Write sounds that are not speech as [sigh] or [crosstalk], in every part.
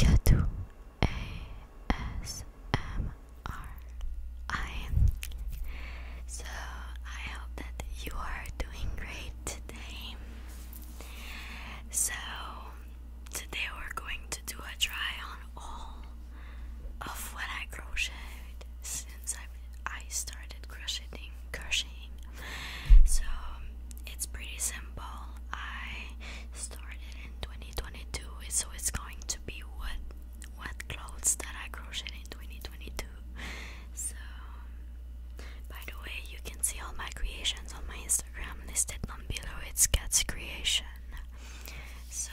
Kadu so I hope that you are doing great today. So today we're going to do a try on all of what I crocheted since I started crocheting so it's pretty simple. I started in 2022, so it's going to be what what clothes that I crocheted in 2022. So by the way, you can see all my creations on my Instagram listed down below. It's Cat's Creation. So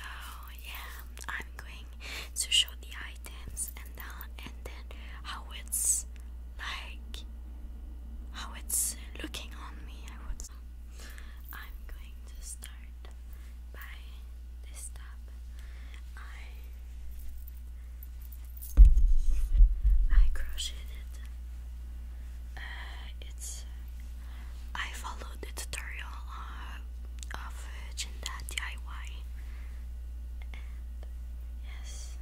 yeah, I'm going to show the items and then and then how it's like how it's looking on me I would I'm going to start by this tab I I crocheted uh, it's I followed the tutorial uh, of Jinda DIY and yes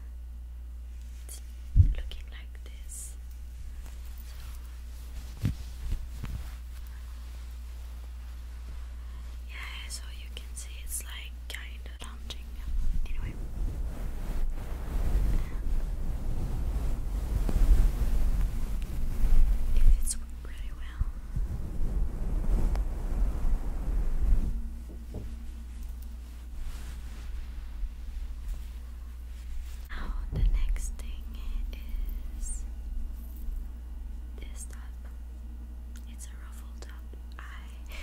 it's looking like this. yeah, so you can see it's like kind of lounging. Anyway. It fits pretty well. Now, the next thing is this top. It's a ruffle top. I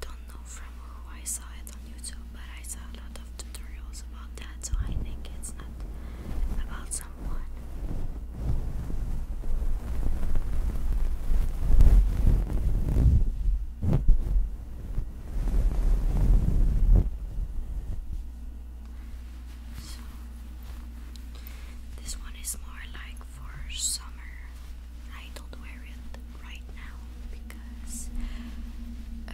don't know from who I saw it on YouTube, but I saw a lot of tutorials about that, so I think it's not about someone. So, this one is more like for summer. I don't wear it right now because uh,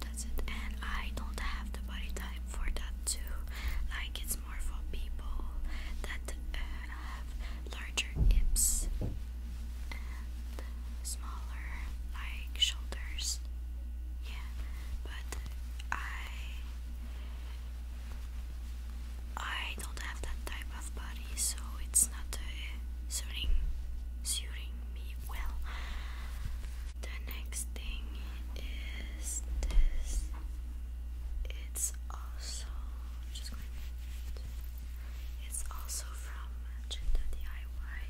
that's it, and I don't have the body type for that too. Like, it's more for people that. Uh, i have larger hips smaller like shoulders. Yeah, but I I don't have that type of body, so it's not uh, suiting suiting me well. The next thing is this. It's also just going to it's also from Agenda DIY.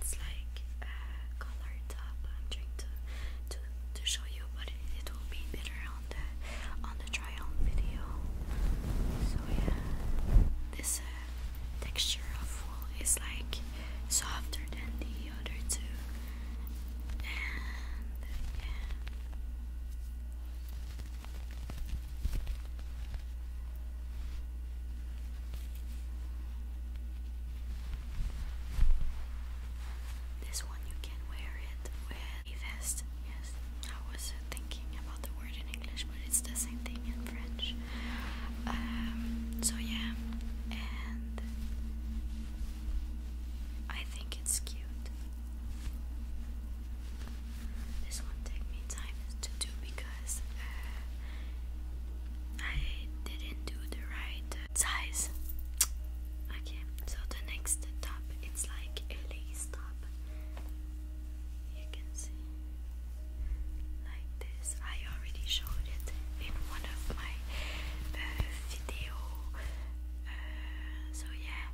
It's like a color top. I'm trying to to to show you, but it, will be better on the on the try on video. So yeah, this uh, texture of wool is like softer than the the This one you can wear it with a vest. Yes, I was thinking about the word in English, but it's the same thing in French. Um, so yeah, and I I think it's cute. This one took me time to do because uh, I didn't do the right size. Okay, so the next top it's like a lace top. You can see like this. I already showed it in one of my uh, video. so yeah.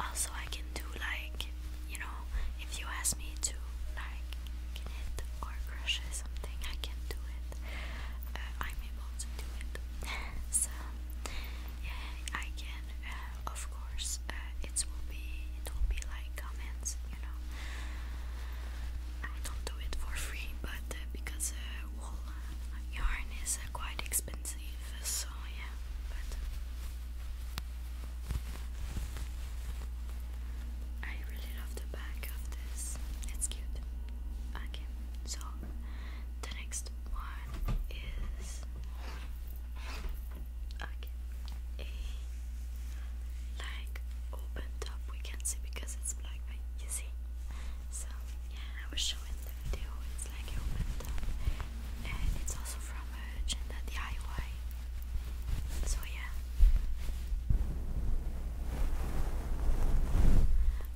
Also, I can do like you know, if you ask me to like knit or crochet something, I can do it. Uh, I'm able to do it. [laughs] so yeah, I can. Uh, of course, uh, it will be it will be like comments, you know. I don't do it for free but uh, because uh, wool yarn is uh, quite expensive, so yeah. But I really love the back of this. It's cute. Okay, so the next one is okay like open top we can see because you see. So yeah, I was showing the video. It's like opened up, and it's also from a gender DIY. So yeah,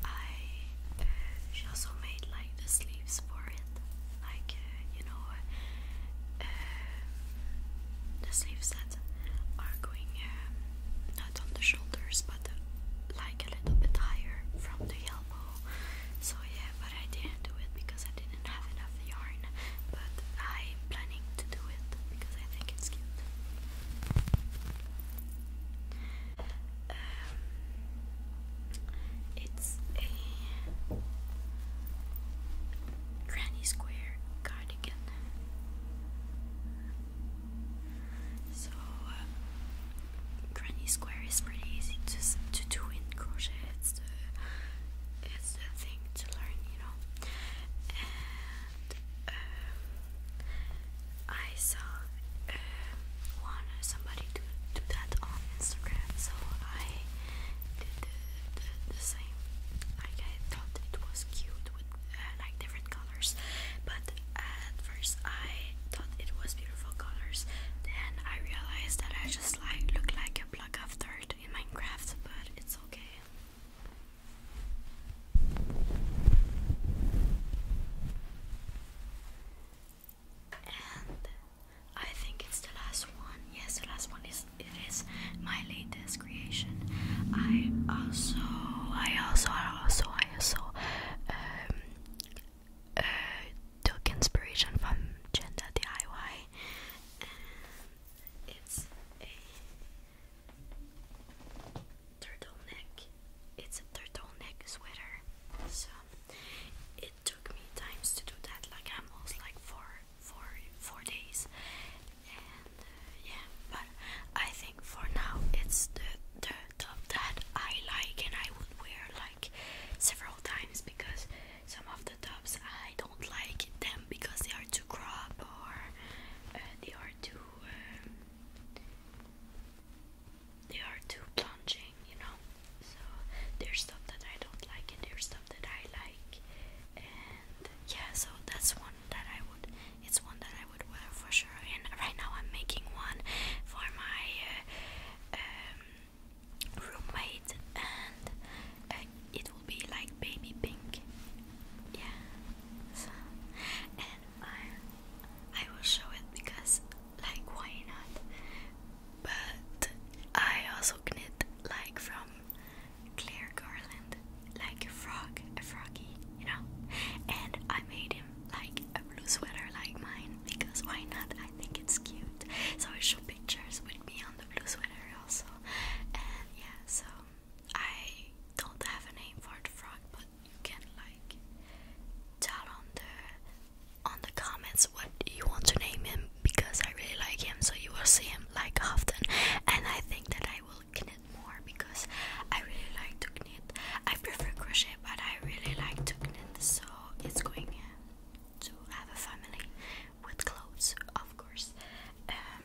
I she also made like the sleeves for it, like uh, you know, uh, the sleeves that are going uh, not on the shoulders but uh, like a little bit higher from the elbow. So yeah, but I didn't do it because I didn't have enough yarn. But I'm planning to do it because I think it's cute. Um, it's a granny square so uh, granny square is pretty easy to to do in crochet. It's the thing to learn, you know. And um, I saw uh, one uh, somebody do do that on Instagram, so I did the same. I thought it was cute with uh, like different colors, but at first I thought it was beautiful colors. Then I realized that I just like look like a block of dirt in Minecraft, but it's okay. And I think it's the last one. Yes, the last one is it is my latest creation. I also, I also, I also, I also um, uh, took inspiration from gender DIY. it's a turtleneck. It's a turtleneck sweater. So it took me times to do that. Like almost like four, four, four days. Uh, yeah but I think for now it's the the top that I like and I would wear like several times because some of the tops I don't like them because they are too crop or uh, they are too um, they are too plunging you know so there's stuff that I don't like and there's stuff that I like and yeah so that's one that I would it's one that I would wear for sure and right now I'm making one for my uh, um, roommate and uh, it will be like baby pink yeah and I, I will show it because like why not but I also knit like from Claire Garland like a frog, a froggy, you know. And I made him like a blue sweater like mine because why not? I think it's cute. So I show pictures with me on the blue sweater also. And yeah, so I don't have a name for the frog, but you can like tell on the on the comments what you want to name him because I really like him, so you will see him like often. And I think that I will knit more because I really like to knit. I prefer crochet, but I really like to knit, so it's going uh, to have a family with clothes, of course. Um,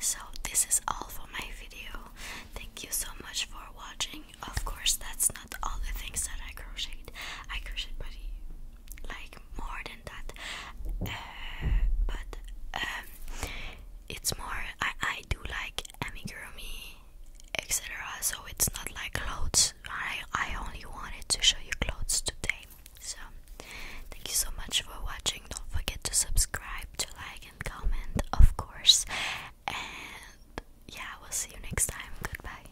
so this is all for my video. Thank you so much for watching. Of course, that's not all the things that I crocheted. I crocheted, but like more than that uh, but um, it's more I, I do like amigurumi etc so it's not like clothes I, I only wanted to show you clothes today so thank you so much for watching don't forget to subscribe to like and comment of course and yeah we'll see you next time goodbye